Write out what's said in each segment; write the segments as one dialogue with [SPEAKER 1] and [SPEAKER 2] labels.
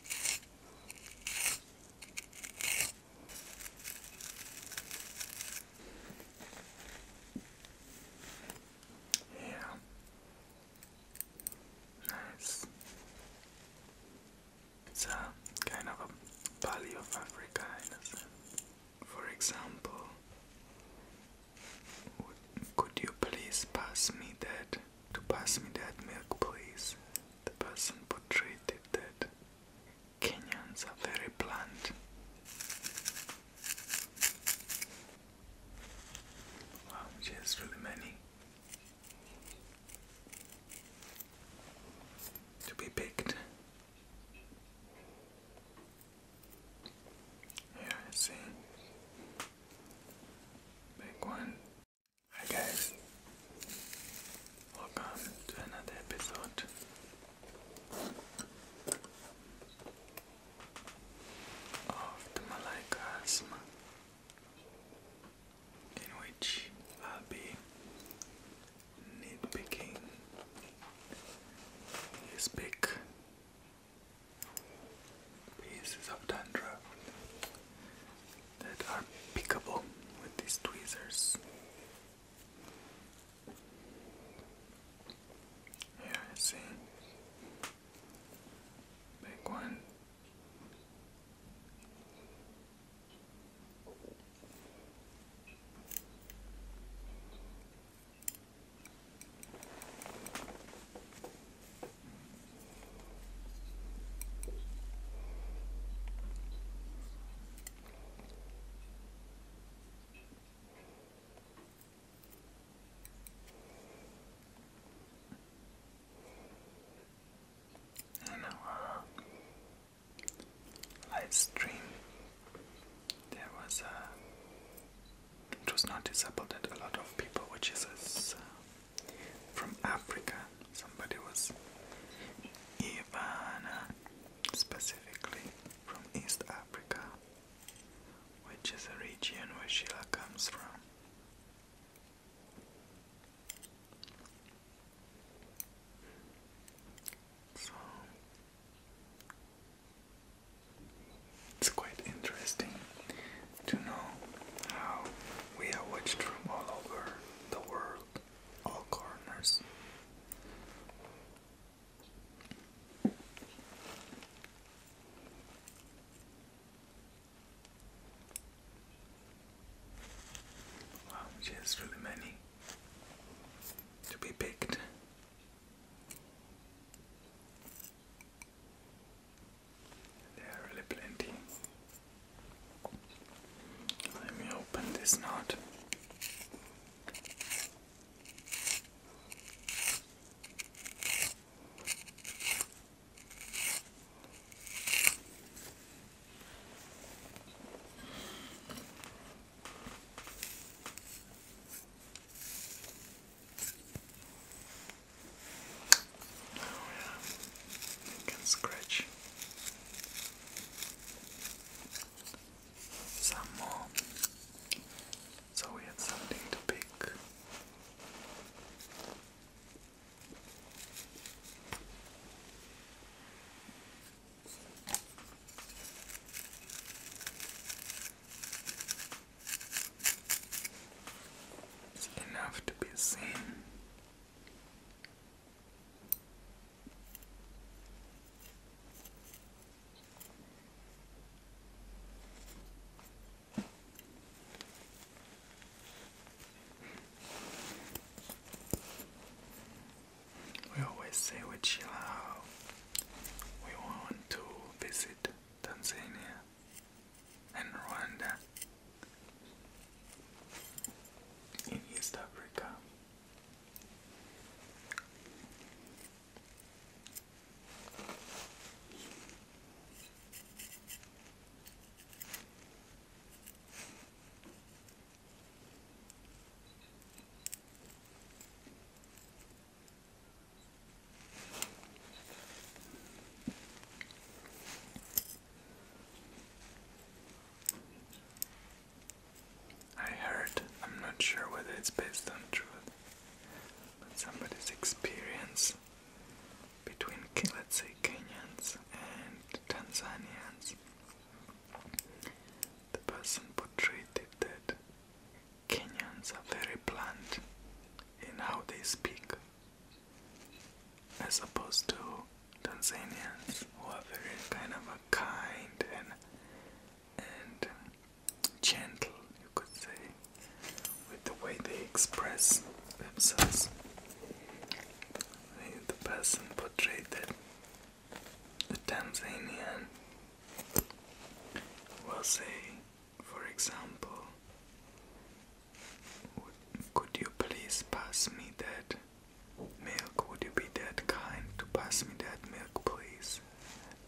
[SPEAKER 1] Yeah. Nice. It's kind of valley of Africa For example, could you please pass me that? To pass me that milk, please the person portrayed that Kenyans are very blunt. Wow, she really many. To be picked. Here I see. Big one, Hi guys, welcome to another episode. Of the Malaika in which I'll be nitpicking his big pieces of dandruff that are pickable with these tweezers. Here I see big one. I do uh, live stream. There was a. Uh, it was noticeable that a lot of people, which is a, from Africa. Somebody was Ivana, specifically from East Africa, which is a region where Sheila comes from. So it's quite interesting to know how we are watched from all over the world, all corners. Wow, she really many to be picked. There are really plenty. Let me open this knot. Oh yeah, can scratch some more. So we had something to pick. It's enough to be seen. We always say with Sheila we want to visit Tanzania and Rwanda in East Africa. I heard, I'm not sure whether it's based on truth, but somebody's experience between, let's say, Kenyans and Tanzanians. The person portrayed that Kenyans are very blunt in how they speak as opposed to Tanzanians who are very kind of a kind and and gentle, you could say, with the way they express themselves. The person portrayed that the Tanzanian will say, for example, could you please pass me that milk? Would you be that kind to pass me that milk, please?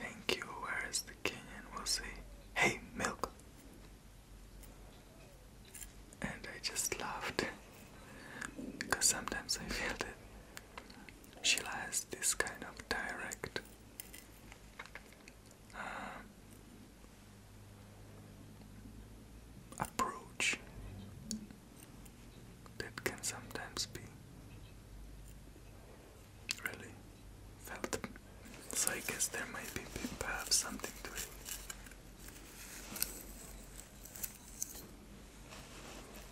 [SPEAKER 1] Thank you. Where is the Kenyan? We'll say, hey, milk. And I just laughed because sometimes I feel that she has this kind of direct. Uh, approach that can sometimes be really felt. So I guess there might be perhaps something to it.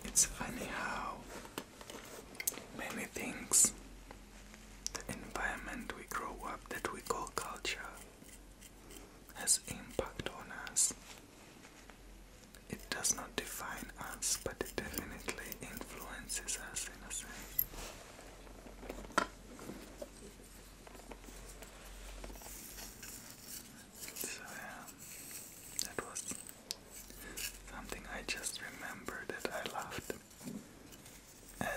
[SPEAKER 1] It's funny how many things the environment we grow up that we call culture has impact on us. It does not define us, but it definitely influences us in a sense. So yeah, that was something I just remembered that I loved add.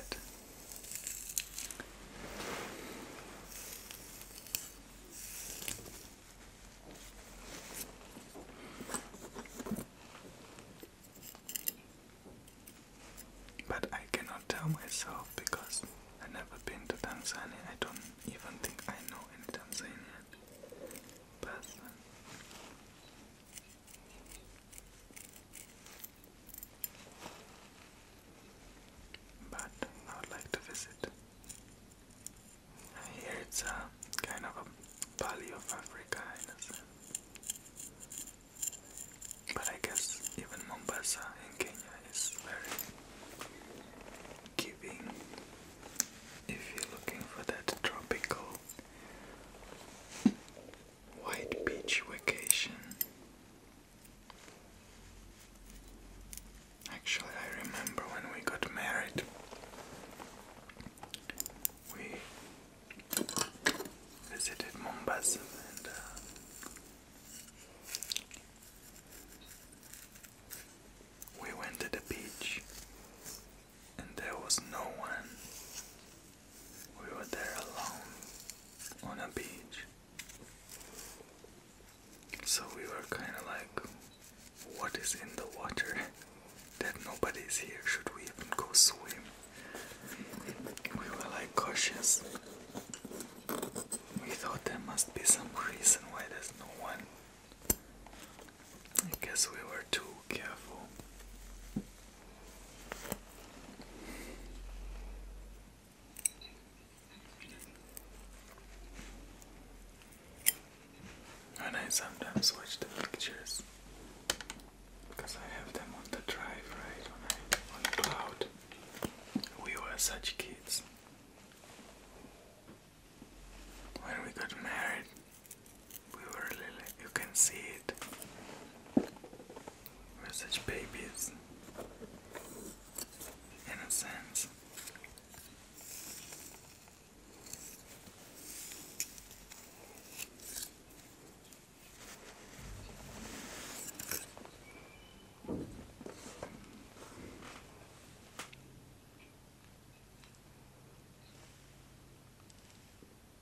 [SPEAKER 1] But I cannot tell myself because I've never been to Tanzania. I don't even think I know any Tanzanian person. But I would like to visit. Here it's a kind of a valley of Africa But I guess even Mombasa in Kenya is very giving if you're looking for that tropical white beach vacation. Actually, I remember when we got married, we visited Mombasa and. Uh, we went to the beach and there was no one we were there alone on a beach. So we were kind of like, what is in the water that nobody's here? Should we even go swim? We were like cautious. We thought there must be some reason why there's no one. I guess we were too careful. And I sometimes watch the pictures because I have them on the drive, right? On, I, cloud. We were such kids. When we got married, we were really, you can see it. We're such babies. Innocent.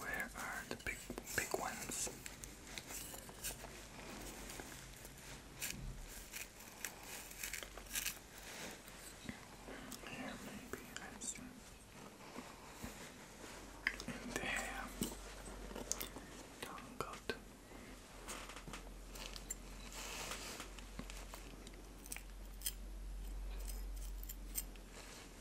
[SPEAKER 1] Where are the big big ones? Here maybe I see. And there, do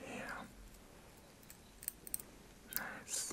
[SPEAKER 1] Yeah. Nice.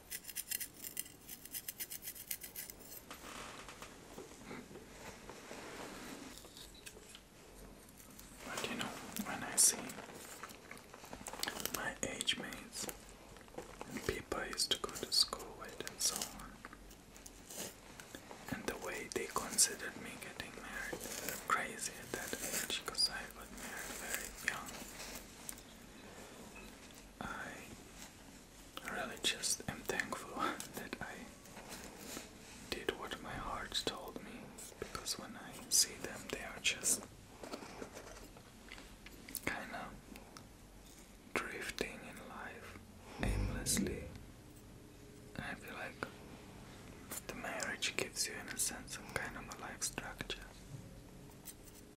[SPEAKER 1] But you know, when I see my age mates and people used to go to school with and so on, and the way they considered me getting married, crazy at that age because I got married very young. I really just am thankful that I did what my heart told me because when I see them, they are just kind of drifting in life aimlessly. I feel like the marriage gives you, in a sense, some kind of a life structure.